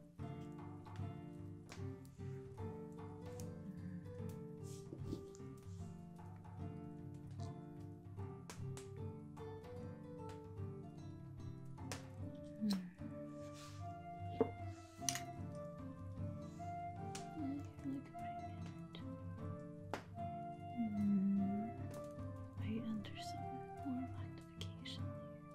Hmm. Hmm. I enter some more magnification.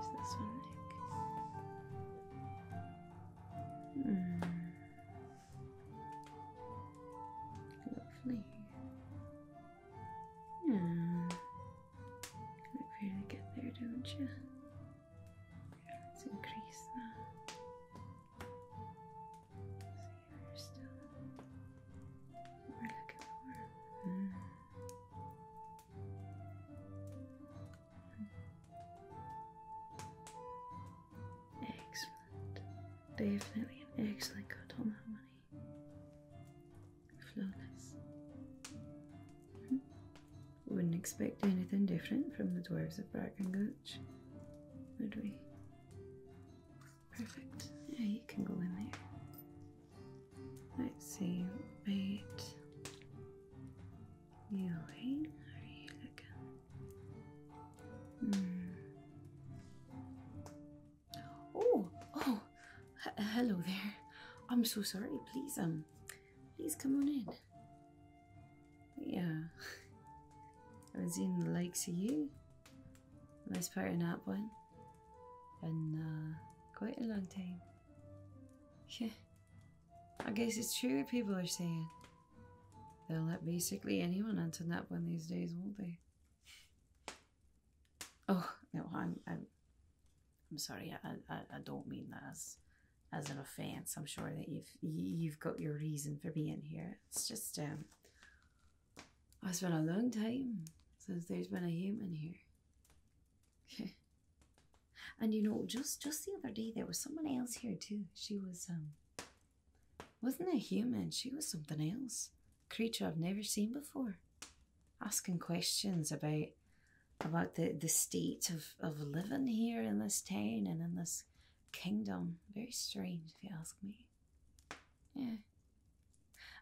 Is this one Nick? Mm. Lovely. Yeah. you to get there, don't you? let's increase that. So you're still. We're looking for. Hmm. Excellent. Definitely an excellent cut on that money. Flawless. Hmm. Wouldn't expect anything different from the dwarves of Brackengutch, would we? Perfect. Yeah, you can go in there. Let's see, wait. You are you looking? Hmm. Oh, oh, hello there. I'm so sorry. Please, um, please come on in. Yeah, I was in the lakes of you. Let's part in one in uh, quite a long time. Yeah, I guess it's true what people are saying. They'll let basically anyone into that one these days, won't they? Oh no, I'm I'm, sorry. I, don't mean that as as an offense. I'm sure that you've you've got your reason for being here. It's just um, it's been a long time since there's been a human here. Okay, and you know, just just the other day there was someone else here too. She was um wasn't a human, she was something else. Creature I've never seen before. Asking questions about about the, the state of, of living here in this town and in this kingdom. Very strange if you ask me. Yeah.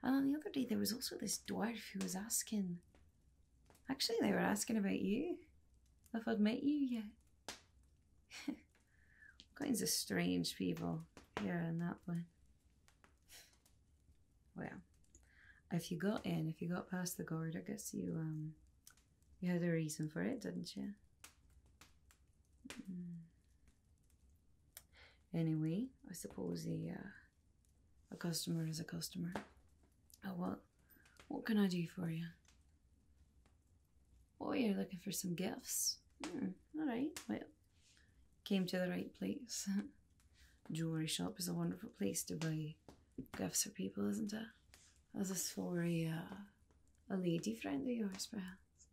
And on the other day, there was also this dwarf who was asking. Actually, they were asking about you. If I'd met you yet. kinds of strange people here and that one. Well, if you got in, if you got past the guard, I guess you um, you had a reason for it, didn't you? Hmm. Anyway, I suppose the uh, a customer is a customer. Oh, what? What can I do for you? Oh, you're looking for some gifts? Hmm, alright, well, came to the right place. Jewelry shop is a wonderful place to buy gifts for people, isn't it? Is this for a, uh, a lady friend of yours, perhaps?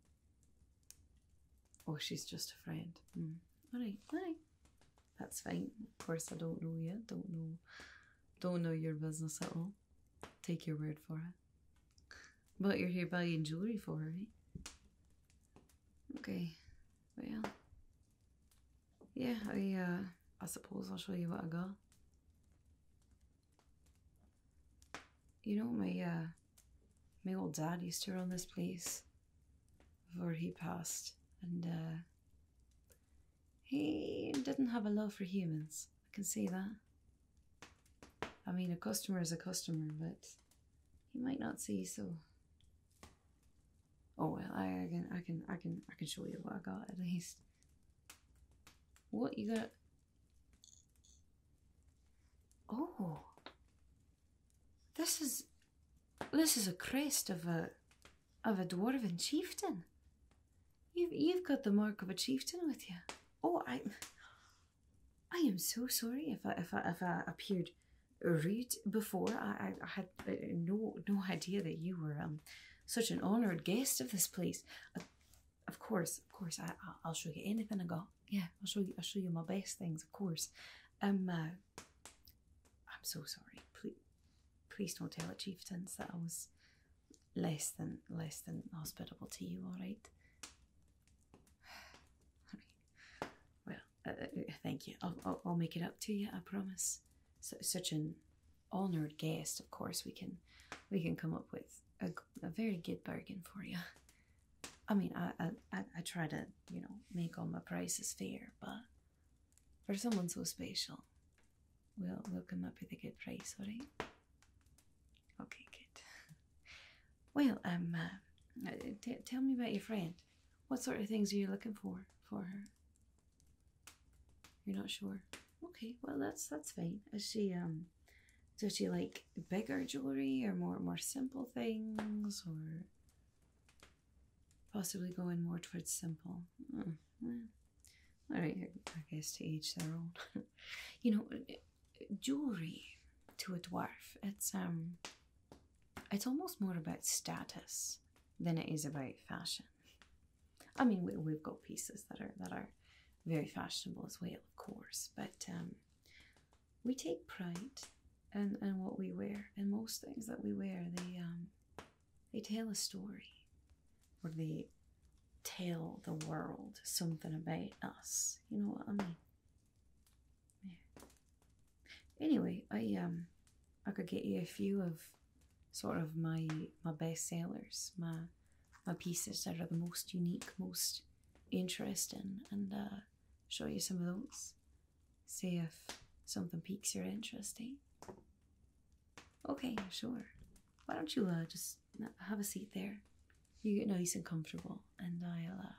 Oh, she's just a friend. Mm. Alright, alright. That's fine. Of course, I don't know yet. Don't know. Don't know your business at all. Take your word for it. But you're here buying jewelry for her, Okay. Well. Yeah. I. Uh, I suppose I'll show you what I got. You know, my uh, my old dad used to run this place before he passed, and uh, he didn't have a love for humans. I can see that. I mean, a customer is a customer, but he might not see so. Oh well, I can, I can, I can, I can show you what I got at least. What you got? Oh, this is this is a crest of a of a dwarven chieftain. You've you've got the mark of a chieftain with you. Oh, I I am so sorry if I if I, appeared rude before. I, I had uh, no no idea that you were um such an honored guest of this place. Uh, of course, of course, I I'll show you anything I got. Yeah, I'll show you I'll show you my best things, of course. Um. Uh, I'm so sorry. Please, please don't tell the chieftains, that I was less than less than hospitable to you. All right. Well, uh, uh, uh, thank you. I'll, I'll, make it up to you. I promise. So, such an honored guest. Of course, we can we can come up with a, a very good bargain for you. I mean, I I try to you know make all my prices fair, but for someone so special. We'll, we'll come up with a good price, alright? Okay, good. Well, um, uh, uh, tell me about your friend. What sort of things are you looking for for her? You're not sure. Okay, well that's that's fine. Does she um, does she like bigger jewelry or more more simple things or? possibly going more towards simple. Mm, I guess to each their own. you know, eh, jewelry to a dwarf, it's um, it's almost more about status than it is about fashion. I mean, we, have got pieces that are that are very fashionable as well, of course, but um, we take pride and and what we wear and most things that we wear they um they tell a story or they tell the world something about us you know what i mean yeah. anyway i um i could get you a few of sort of my my best sellers my my pieces that are the most unique most interesting and uh, show you some of those See if something piques your interest, eh? Okay, sure. Why don't you uh, just uh, have a seat there? You get nice and comfortable, and I'll uh,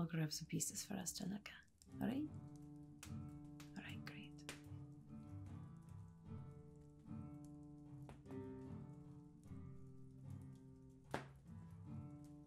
I'll grab some pieces for us to look at. All right? All right, great.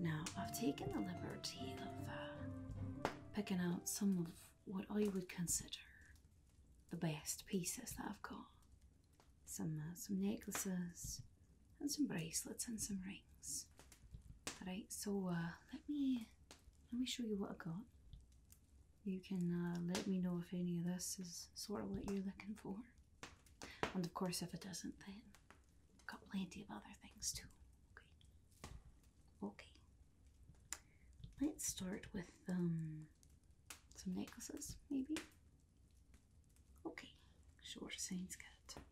Now, I've taken the liberty of uh, picking out some of what I would consider the best pieces that I've got. Some uh, some necklaces and some bracelets and some rings. All right, so uh, let me let me show you what I got. You can let me know if any of this is sort of what you're looking for. And of course, if it doesn't, then I've got plenty of other things too. Okay. Okay. Let's start with um, some necklaces, maybe. Okay, sure, Saint's good.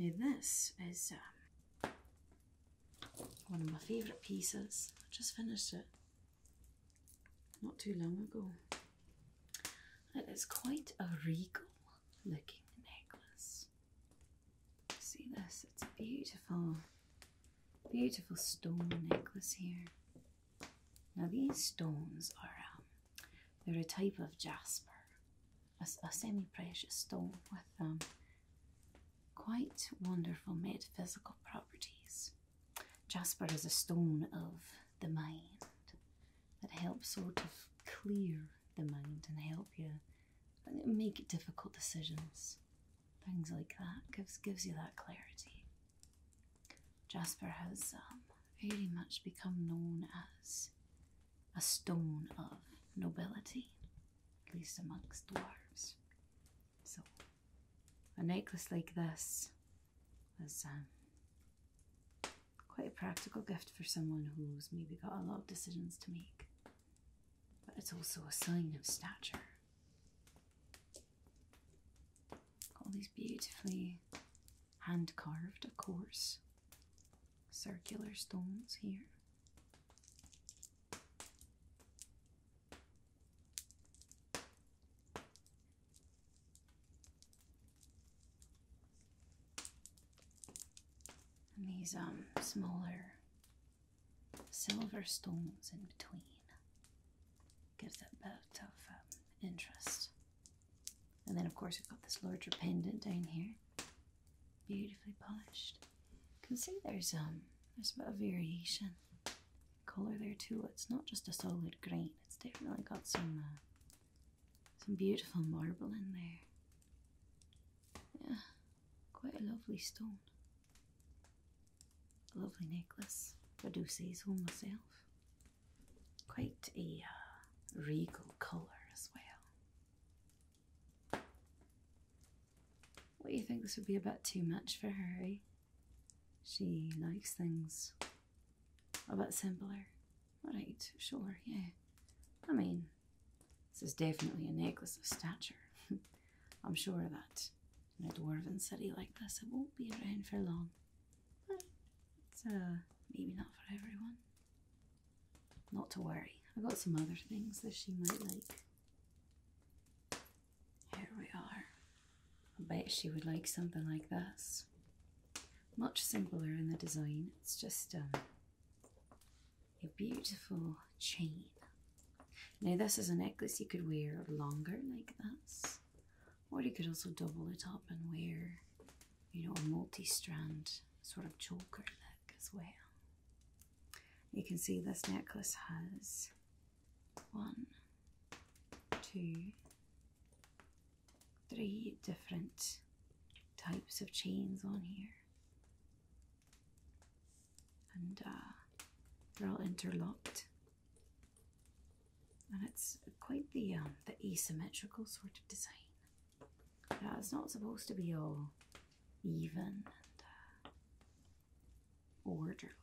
Now, this is um, one of my favourite pieces. I just finished it not too long ago. It is quite a regal looking necklace. See this? It's a beautiful, beautiful stone necklace here. Now these stones are, um, they're a type of jasper, a, semi-precious stone with um, quite wonderful metaphysical properties. Jasper is a stone of the mind that helps sort of clear the mind and help you make difficult decisions. Things like that gives gives you that clarity. Jasper has um, very much become known as a stone of nobility, at least amongst dwarves. So, a necklace like this was um, quite a practical gift for someone who's maybe got a lot of decisions to make. But it's also a sign of stature. all these beautifully hand carved, of course, circular stones here. And these um smaller silver stones in between gives a bit of um, interest. And then of course we've got this larger pendant down here, beautifully polished. You can see there's um there's a variation color there too. It's not just a solid green. It's definitely got some uh, some beautiful marble in there. Yeah, quite a lovely stone. lovely necklace. I do say so myself. Quite a uh, regal color as well. What do you think this would be a bit too much for Harry. Eh? She likes things a bit simpler. Alright, sure, yeah. I mean, this is definitely a necklace of stature. I'm sure that in a dwarven city like this, it won't be around for long. Uh, maybe not for everyone. Not to worry. I have got some other things that she might like. Here we are. I bet she would like something like this. Much simpler in the design. It's just um, a beautiful chain. Now this is a necklace you could wear longer like this. Or you could also double it up and wear, you know, a multi-strand sort of choker look as well. You can see this necklace has one, two, three different types of chains on here. And uh, they're all interlocked. And it's quite the um, the asymmetrical sort of design. Uh, it's not supposed to be all even and uh, orderly.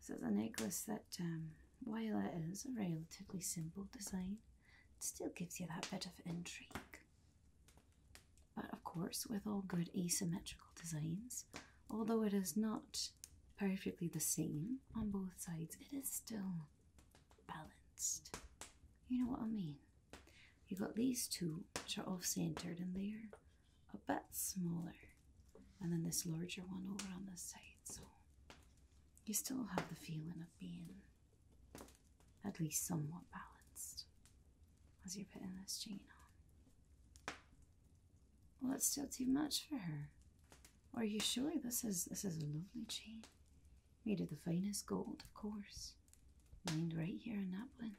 So a necklace that, um, while it is a relatively simple design, it still gives you that bit of intrigue. But of course, with all good asymmetrical designs, although it is not perfectly the same on both sides, it is still balanced. You know what I mean? You got these two, which are off-centered, and they're a bit smaller and then this larger one over on the side. So you still have the feeling of being at least somewhat balanced as you're putting this chain on. Well, it's still too much for her. Are you sure this is this is a lovely chain? Made of the finest gold, of course. Lined right here in that one.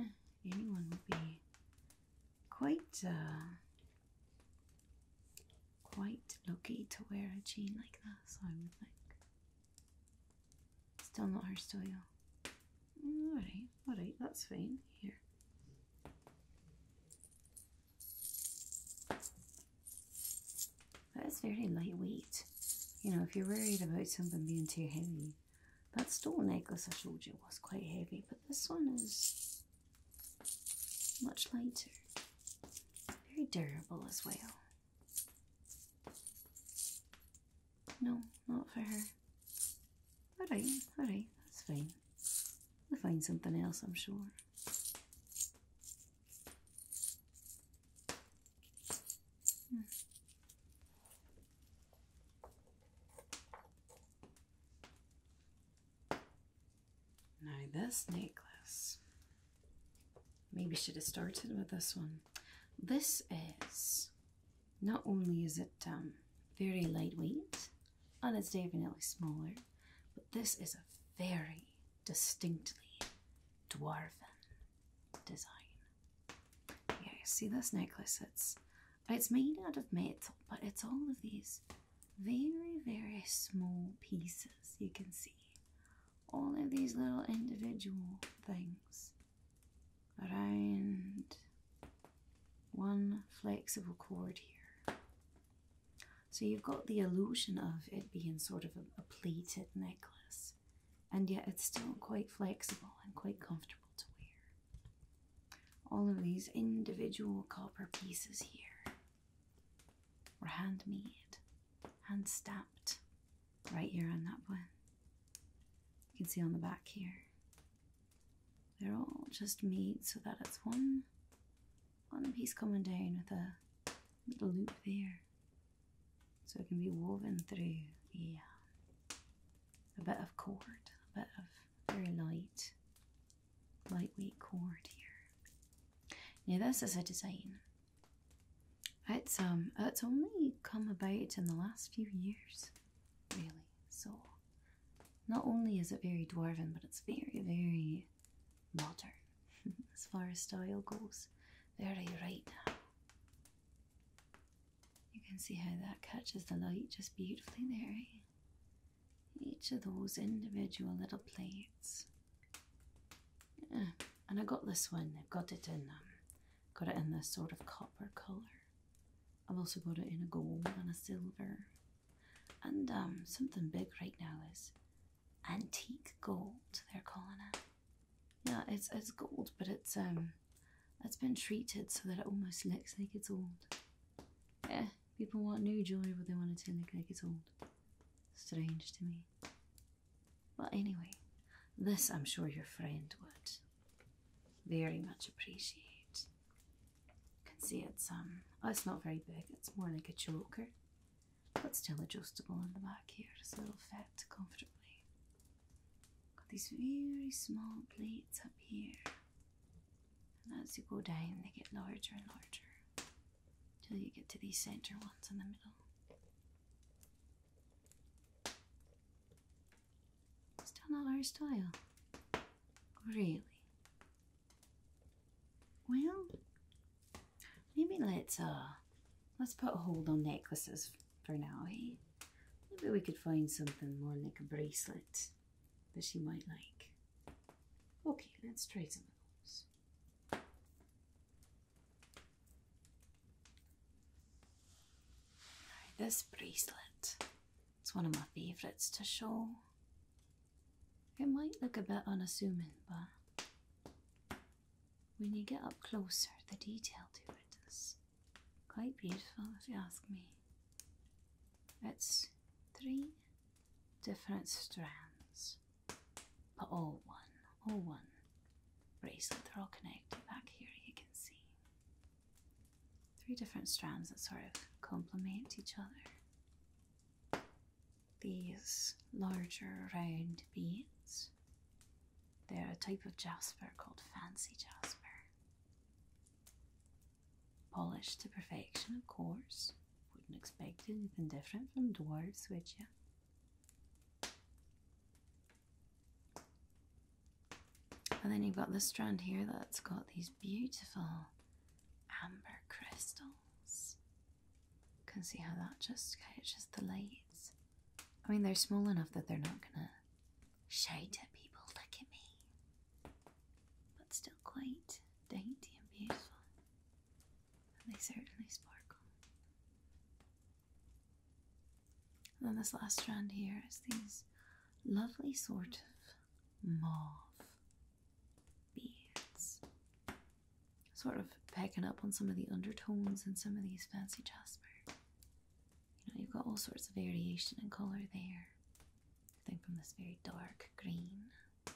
Eh, anyone would be quite uh, quite lucky to wear a jean like this, I would think. Still not her style. Mm, alright, alright, that's fine. Here. That is very lightweight. You know, if you're worried about something being too heavy, that stole necklace I showed you was quite heavy, but this one is much lighter, very durable as well. No, not for her. Alright, alright, that's fine. We'll find something else, I'm sure. Now this necklace, maybe should have started with this one. This is, not only is it um, very lightweight, and it's definitely smaller, but this is a very distinctly dwarven design. Yeah, see this necklace, it's it's made out of metal, but it's all of these very, very small pieces. You can see all of these little individual things around one flexible cord here. So you've got the illusion of it being sort of a, a pleated necklace, and yet it's still quite flexible and quite comfortable to wear. All of these individual copper pieces here were handmade, and stamped right here on that one. You can see on the back here. They're all just made so that it's one one piece coming down with a little loop there. So it can be woven through a bit of cord, a bit of very light lightweight cord here. Now this is a design. It's um only come about in the last few years, really. So not only is it very dwarven, but it's very, very modern as far as style goes. Very right now. You can see how that catches the light just beautifully there. Eh? each of those individual little plates. And I got this one. I've got it in um, got it in this sort of copper colour. I've also got it in a gold and a silver. And um, something big right now is antique gold. They're calling it. Yeah, it's it's gold, but it's um, it's been treated so that it almost looks like it's old. Yeah, People want new jewelry, but they want it to look like it's old. Strange to me. But anyway, this I'm sure your friend would very much appreciate. You can see it's um, oh, it's not very big. It's more like a choker, but still adjustable in the back here, so it'll fit comfortably. Got these very small plates up here as you go down, they get larger and larger till you get to these center ones in the middle. Still not our style. Really? Well, maybe let's uh let's put a hold on necklaces for now, eh? Maybe we could find something more like a bracelet that she might like. Okay, let's try some of those. this bracelet, it's one of my favourites to show. It might look a bit unassuming, but when you get up closer, the detail to it is quite beautiful, if you ask me. It's three different strands, but all one, all one bracelet. They're all connected. Back here, you can see three different strands that sort of complement each other. These larger round beads, they're a type of jasper called fancy jasper. Polished to perfection, of course. Wouldn't expect anything different from dwarves, would you? And then you've got this strand here that's got these beautiful amber crystals. You can see how that just catches the lights. I mean, they're small enough that they're not gonna shade people, look at me but still quite dainty and beautiful. And they certainly sparkle. And then this last strand here is these lovely sort of mauve beads. Sort of picking up on some of the undertones and some of these fancy jasper. You know, you've got all sorts of variation and colour there think from this very dark green to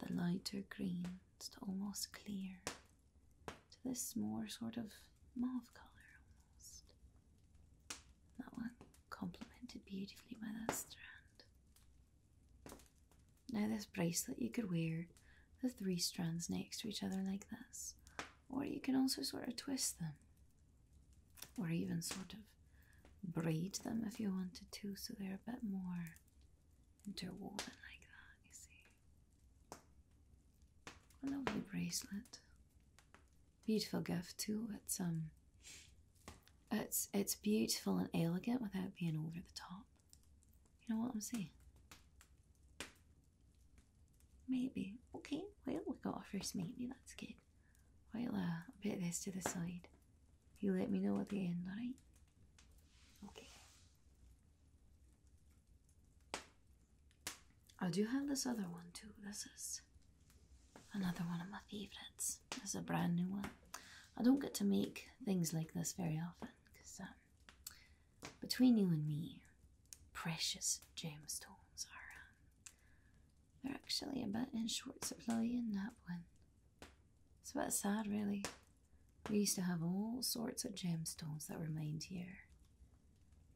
the lighter green, it's almost clear, to this more sort of mauve colour almost. That one complemented beautifully by that strand. Now, this bracelet you could wear the three strands next to each other like this, or you can also sort of twist them or even sort of braid them if you wanted to, so they're a bit more interwoven like that, you see. A lovely bracelet. Beautiful gift too. It's um it's it's beautiful and elegant without being over the top. You know what I'm saying? Maybe. Okay, well we got a first maybe, that's good. Well, uh, I'll put this to the side. You let me know at the end, alright? Okay. I do have this other one too. This is another one of my favorites. It's a brand new one. I don't get to make things like this very often because um, between you and me, precious gemstones are um, they're actually a bit in short supply in that one. It's a bit sad, really. We used to have all sorts of gemstones that were mined here.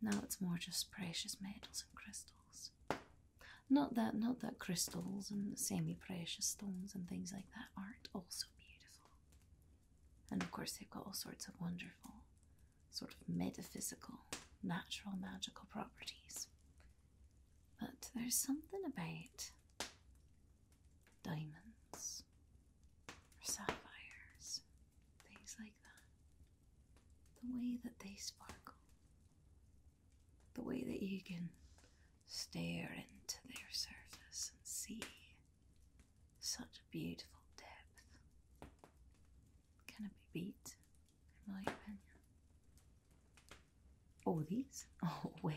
Now it's more just precious metals and crystals. Not that, not that crystals and semi-precious stones and things like that aren't also beautiful. And of course, they've got all sorts of wonderful, sort of metaphysical, natural, magical properties. But there's something about diamonds or sapphires, things like that. The way that they sparkle, the way that you can stare into their surface and see such beautiful depth. Can it be beat? Oh, these? Oh, well,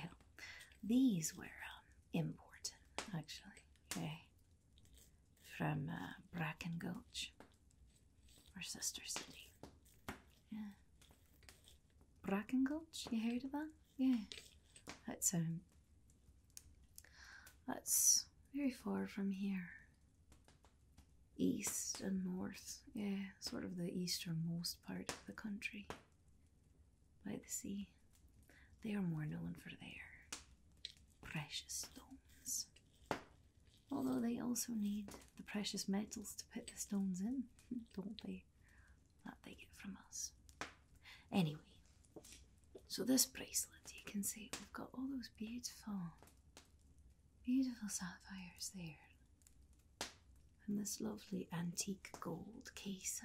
these were um, important, actually. Okay. From uh, Bracken Gulch, our sister city. Yeah. Gulch. You heard of that? Yeah. That's, um, that's very far from here east and north, yeah, sort of the easternmost part of the country by the sea. They are more known for their precious stones, although they also need the precious metals to put the stones in, don't they? That they get from us. Anyway, so this bracelet, you can see we've got all those beautiful, beautiful sapphires there and this lovely antique gold case,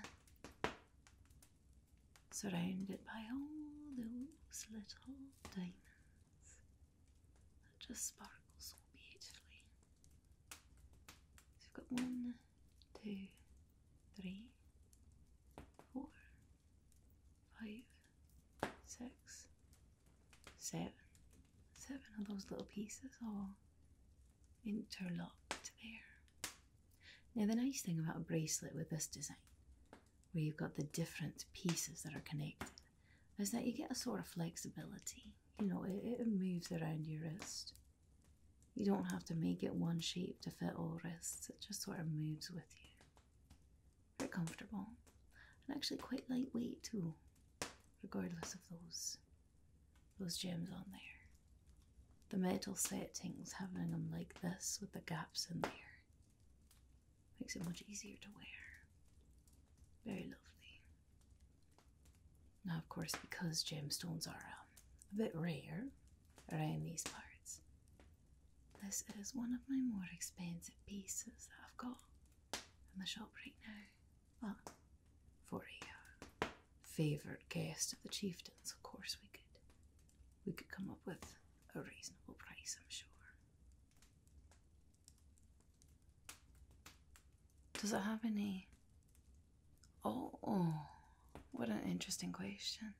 surrounded by all those little diamonds that just sparkles so beautifully. So you've got one, two, three, four, five, six, seven, seven of those little pieces all interlocked there. Now the nice thing about a bracelet with this design, where you've got the different pieces that are connected, is that you get a sort of flexibility. You know, it, it moves around your wrist. You don't have to make it one shape to fit all wrists, it just sort of moves with you. Very comfortable and actually quite lightweight too, regardless of those those gems on there. The metal settings, having them like this with the gaps in there, makes it much easier to wear. Very lovely. Now, of course, because gemstones are um, a bit rare around these parts, this is one of my more expensive pieces that I've got in the shop right now. Well, for a uh, favored guest of the chieftain's, of course we could we could come up with a reasonable price, I'm sure. Does it have any? Oh, oh, what an interesting question.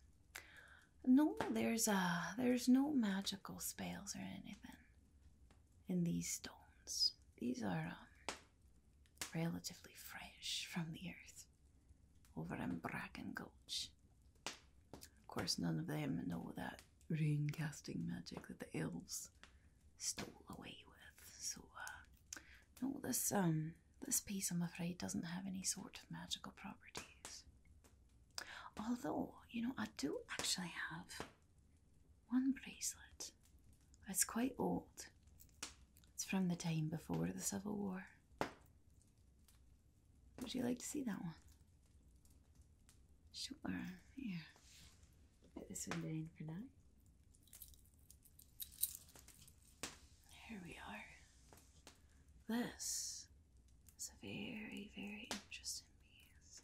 No, there's uh there's no magical spells or anything in these stones. These are um, relatively fresh from the earth over in Bracken Gulch. Of course, none of them know that rain casting magic that the elves stole away with. So, uh, no, this um, this piece, I'm afraid, doesn't have any sort of magical properties. Although, you know, I do actually have one bracelet. It's quite old. It's from the time before the Civil War. Would you like to see that one? Sure, Yeah. Put this one down for now. Here we are. This is a very, very interesting piece.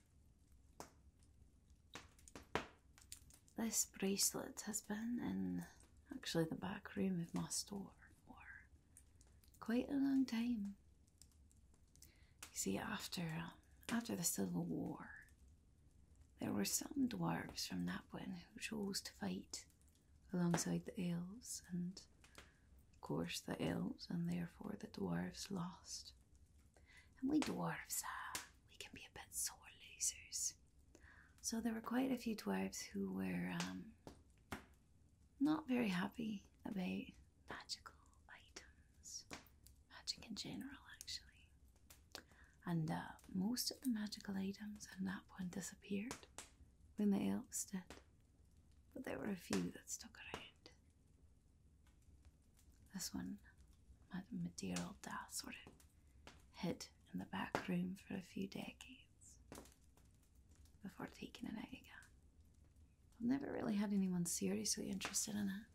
This bracelet has been in actually the back room of my store for quite a long time. You see, after after the Civil War, there were some dwarves from Napwin who chose to fight alongside the elves, and of course the elves and therefore the dwarves lost. And we dwarves, ah, we can be a bit sore losers. So there were quite a few dwarves who were um, not very happy about magical items, magic in general, actually. And uh, most of the magical items at that point disappeared when the elves did, but there were a few that stuck around. This one, my Maderal Da, sort of hid in the back room for a few decades before taking it out again. I've never really had anyone seriously interested in it.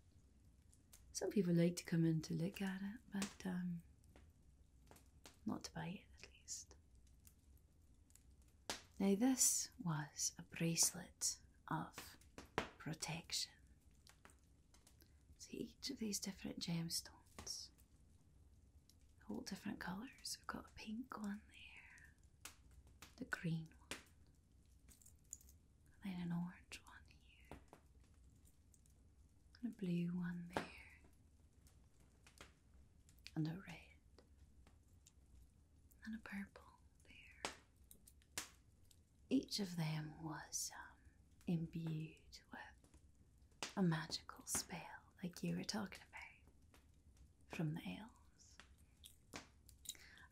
Some people like to come in to look at it, but um, not to buy it at least. Now, this was a bracelet of protection. See each of these different gemstones, all different colours. We've got a pink one there, the green one, then an orange one here, and a blue one there, and a red, and a purple there, each of them was um, imbued with a magical spell, like you were talking about from the elves.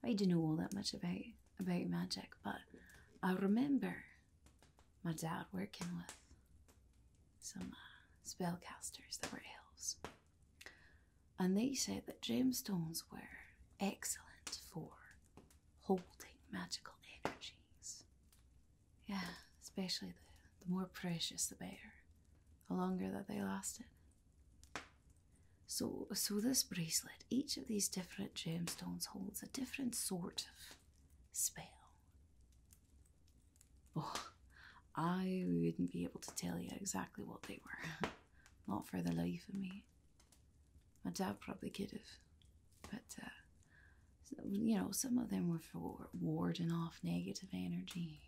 I do not know all that much about about magic, but I remember my dad working with some uh, spellcasters that were elves, and they said that gemstones were excellent for holding magical energies. Yeah, especially the, the more precious the better, the longer that they lasted. So, so this bracelet, each of these different gemstones holds a different sort of spell. Oh, I wouldn't be able to tell you exactly what they were, not for the life of me. My dad probably could have, but uh, you know, some of them were for warding off negative energy.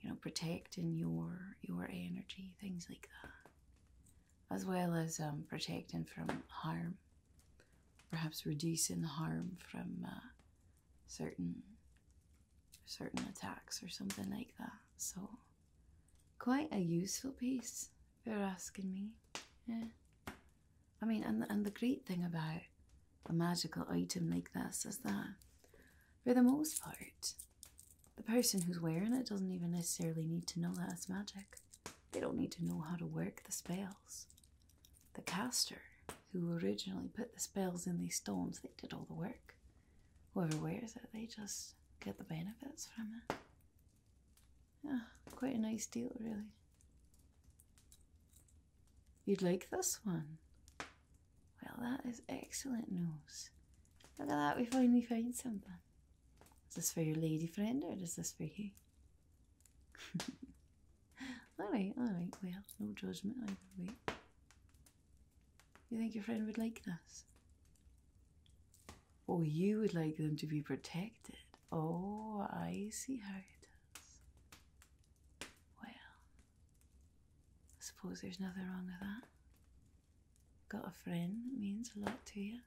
You know, protecting your your energy, things like that, as well as um, protecting from harm. Perhaps reducing harm from uh, certain certain attacks or something like that. So quite a useful piece, if you're asking me. Yeah. I mean, and and the great thing about a magical item like this is that, for the most part, the person who's wearing it doesn't even necessarily need to know that it's magic. They don't need to know how to work the spells. The caster who originally put the spells in these stones, they did all the work. Whoever wears it, they just get the benefits from it. Yeah, quite a nice deal, really. You'd like this one? Well, that is excellent news. Look at that, we finally found something. Is this for your lady friend or is this for you? alright, alright, well, no judgment either way. You think your friend would like this? Oh, you would like them to be protected. Oh, I see how it is. Well, I suppose there's nothing wrong with that. Got a friend that means a lot to you.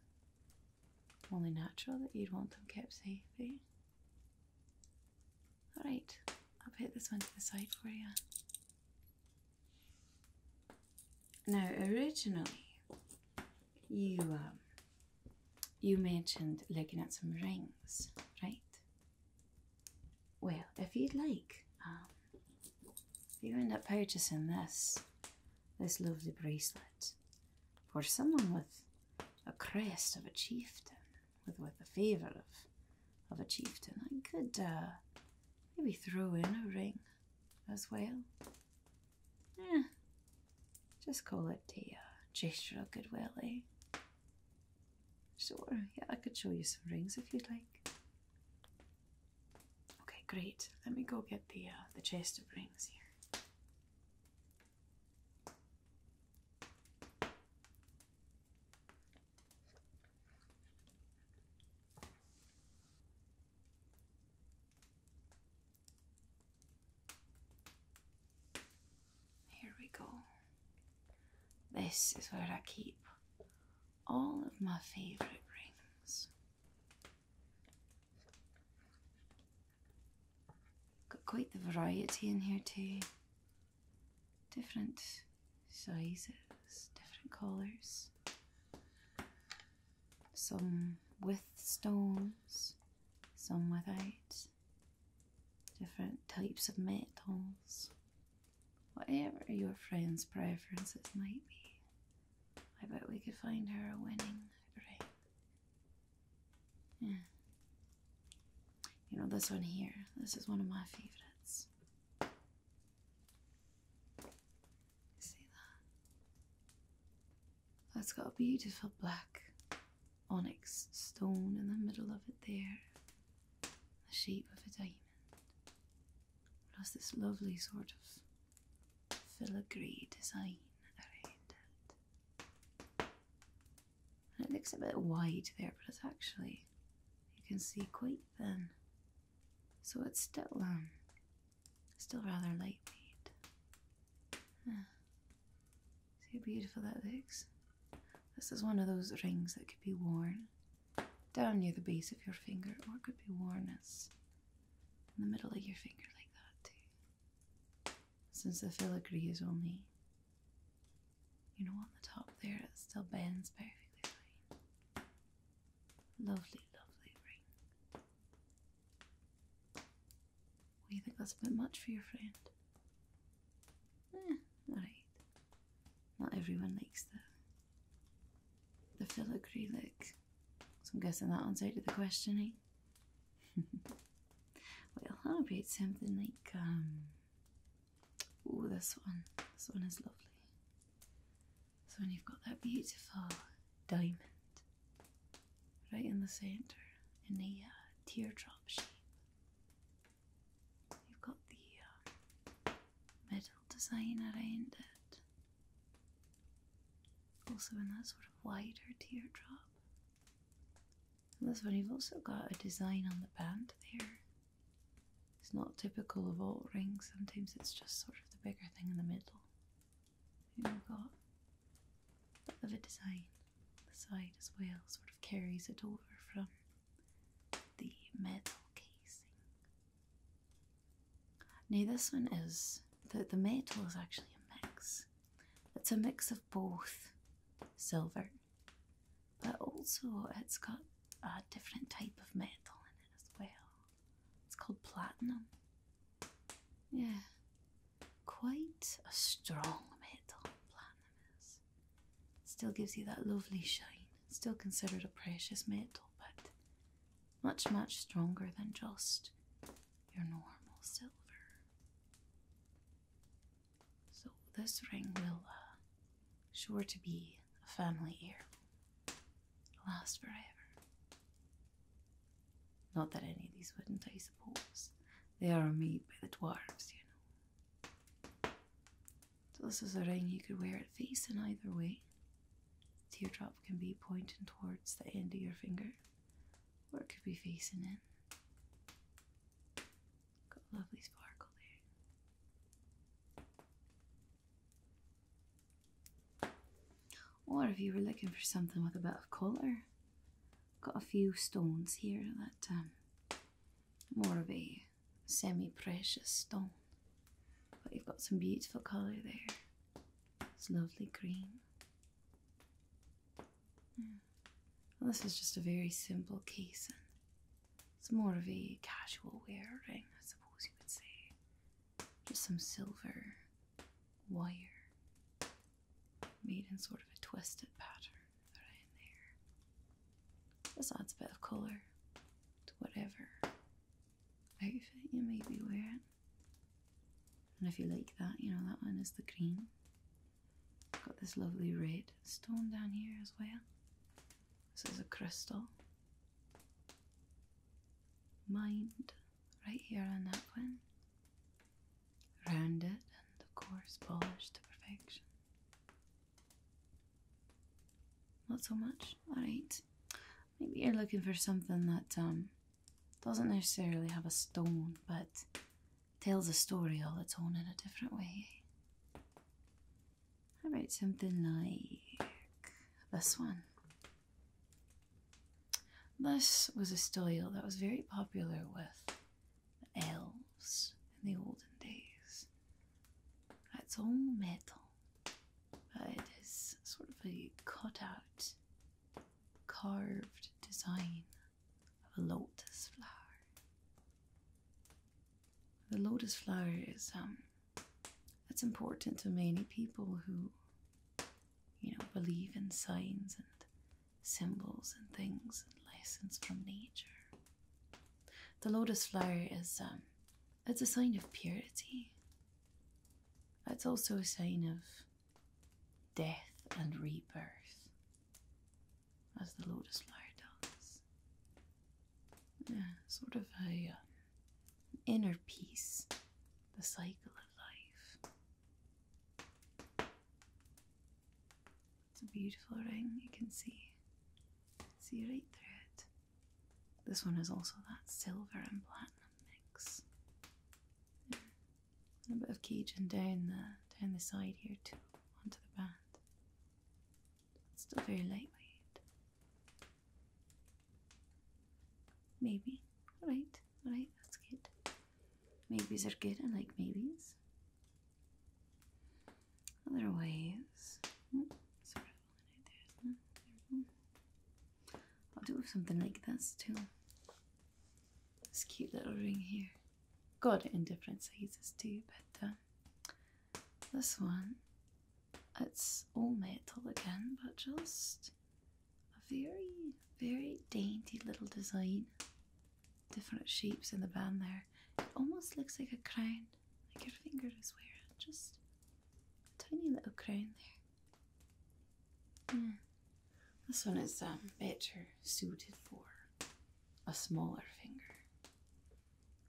Only natural that you'd want them kept safe, eh? Alright, I'll put this one to the side for you. Now, originally, you um, you mentioned looking at some rings, right? Well, if you'd like, um, if you end up purchasing this this lovely bracelet for someone with a crest of a chieftain, with with the favour of of a chieftain. I could uh, maybe throw in a ring as well. Yeah, just call it the uh, gesture of goodwill, eh? Sure, yeah, I could show you some rings if you'd like. Okay, great. Let me go get the uh, the chest of rings here. Here we go. This is where I keep all of my favourite rings. Got quite the variety in here too. Different sizes, different colours some with stones, some without, different types of metals, whatever your friend's preferences might be. I bet we could find her a winning ring. You know, this one here, this is one of my favorites. See that? That's got a beautiful black onyx stone in the middle of it there, the shape of a diamond. Plus this lovely sort of filigree design around it. And it looks a bit wide there, but it's actually, you can see quite thin. So it's still um, Still rather light made. See how beautiful that looks? This is one of those rings that could be worn down near the base of your finger, or it could be worn as in the middle of your finger like that too. Since the filigree is only, you know, on the top there, it still bends perfectly fine. Lovely, lovely ring. Well, you think that's a bit much for your friend? Eh, Not everyone likes the, the filigree look. So I'm guessing that one's out of the question, eh? well, how about something like, um... Oh, this one. This one is lovely. So when you've got that beautiful diamond right in the centre in a uh, teardrop shape, you've got the uh, metal design around it, also in that sort of wider teardrop. And this one, you've also got a design on the band there. It's not typical of all rings, sometimes it's just sort of the bigger thing in the middle. And we've got a design the side as well, sort of carries it over from the metal casing. Now this one is, the, the metal is actually a mix. It's a mix of both silver, but also it's got a different type of metal in it as well. It's called platinum. Yeah, quite a strong metal, platinum Still gives you that lovely shine. still considered a precious metal, but much, much stronger than just your normal silver. So, this ring will uh, sure to be a family heir last forever. Not that any of these wouldn't, I suppose. They are made by the dwarves, you know. So this is a ring you could wear it facing either way. Teardrop can be pointing towards the end of your finger, or it could be facing in. Got lovely sparkle there. Or if you were looking for something with a bit of colour, got a few stones here that um, more of a semi-precious stone, but you've got some beautiful colour there. It's lovely green. Hmm. this is just a very simple casing. It's more of a casual wearing, I suppose you could say. Just some silver wire made in sort of a twisted pattern around there. This adds a bit of colour to whatever outfit you may be wearing. And if you like that, you know, that one is the green. Got this lovely red stone down here as well. This is a crystal. Mind right here on that one. Round it and of course polished to perfection. Not so much? Alright. Maybe you're looking for something that um doesn't necessarily have a stone but tells a story all its own in a different way. How about something like this one? This was a style that was very popular with the elves in the olden days. It's all metal, but it is sort of a cut out, carved design of a lotus flower. The lotus flower is um it's important to many people who you know, believe in signs and symbols and things and lessons from nature. The lotus flower is um, it's a sign of purity. It's also a sign of death and rebirth, as the lotus flower does. Yeah, sort of a um, inner peace, the cycle of life. It's a beautiful ring, you can see. See right through it. This one is also that silver and platinum mix. a bit of Cajun down the down the side here too, onto the band. It's still very lightweight. Maybe. Alright, alright, that's good. Maybes are good, I like maybes. Otherwise, oh, isn't there? I'll do something like this too. This cute little ring here. Got it in different sizes too, but uh, this one, it's all metal again, but just a very, very dainty little design. Different shapes in the band there. It almost looks like a crown, like your finger is wearing just a tiny little crown there. Hmm. This one is um, better suited for a smaller finger,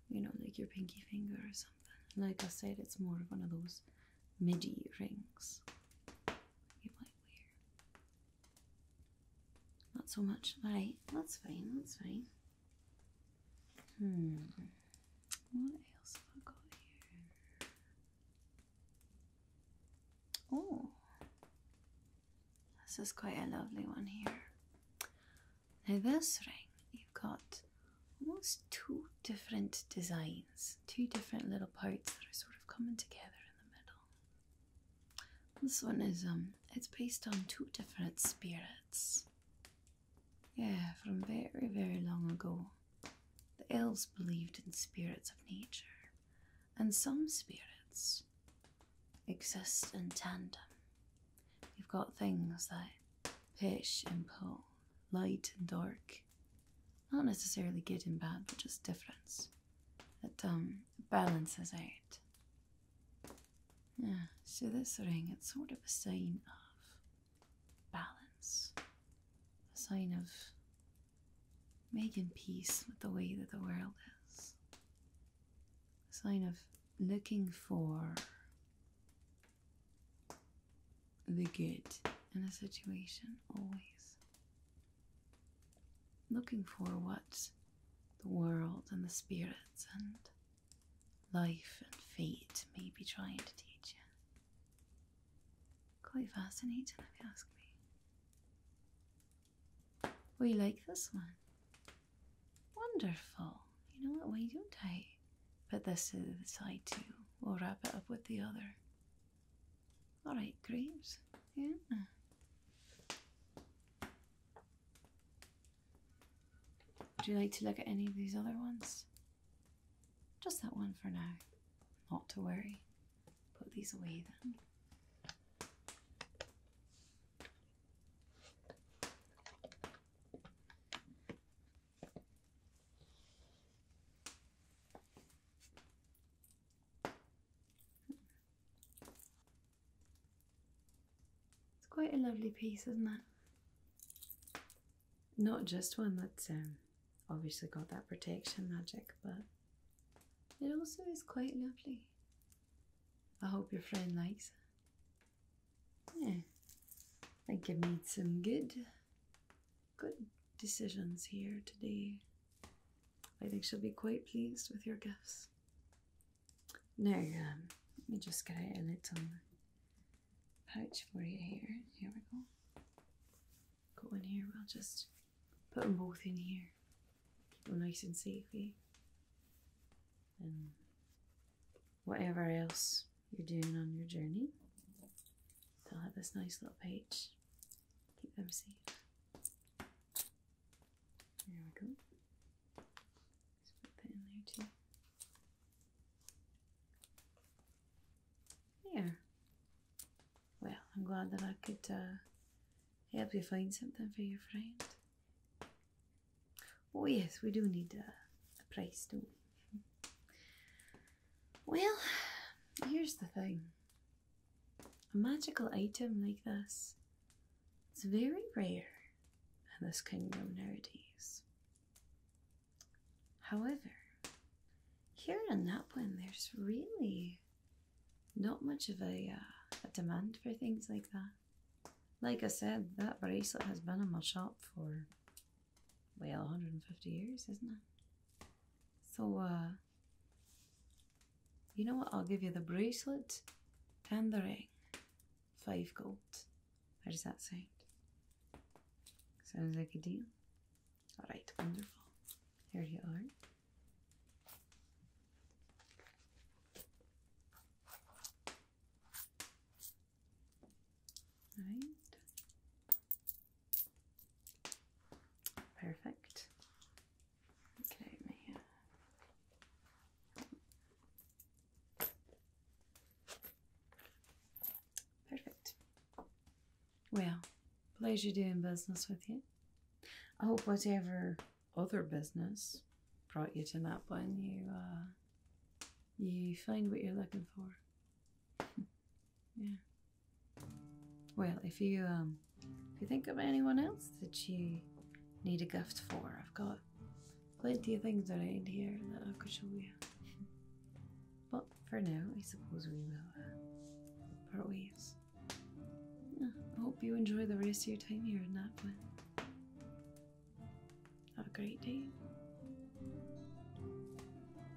you know, like your pinky finger or something. Like I said, it's more of one of those midi rings you might wear. Not so much. Alright, that's fine, that's fine. Hmm. What else have I got here? Oh. This is quite a lovely one here. Now, this ring, you've got almost two different designs two different little parts that are sort of coming together in the middle. This one is um it's based on two different spirits. Yeah, from very, very long ago. The elves believed in spirits of nature, and some spirits exist in tandem. You've got things that push and pull, light and dark, not necessarily good and bad, but just difference. That um balances out. Yeah, so this ring, it's sort of a sign of balance. A sign of making peace with the way that the world is. A sign of looking for the good in a situation always. Looking for what the world and the spirits and life and fate may be trying to teach you. Quite fascinating, if you ask me. Oh, you like this one? Wonderful. You know what? Why don't I put this to the side too? We'll wrap it up with the other. All right, grapes. Yeah. Would you like to look at any of these other ones? Just that one for now. Not to worry. Put these away then. It's quite a lovely piece, isn't it? Not just one that's um, obviously got that protection magic, but it also is quite lovely. I hope your friend likes it. Yeah, I think it needs some good good decisions here today. I think she'll be quite pleased with your gifts. Now, um, let me just get a little pouch for you here. Here we go. Got one here. We'll just put them both in here. Keep them nice and safe. Eh? And whatever else you're doing on your journey, they'll have this nice little pouch Keep them safe. There we go. put that in there too. Yeah. Well, I'm glad that I could uh, help you find something for your friend. Oh yes, we do need a, a price, don't we? Hmm. Well, here's the thing. A magical item like this is very rare in this kingdom nowadays. However, here in Lapland, there's really not much of uh, a, demand for things like that. Like I said, that bracelet has been in my shop for, well, 150 years, isn't it? So, uh, you know what? I'll give you the bracelet and the ring. Five gold. How does that sound? Sounds like a deal. All right, wonderful. Here you are. All right. Perfect. Get out uh, Perfect. Well, pleasure doing business with you. I hope whatever other business brought you to that you uh, you find what you're looking for. Yeah. Well, if you um, if you think of anyone else that you need a gift for, I've got plenty of things that around here that I could show you. But for now, I suppose we will uh, part ways. I hope you enjoy the rest of your time here in Napoli. Have a great day.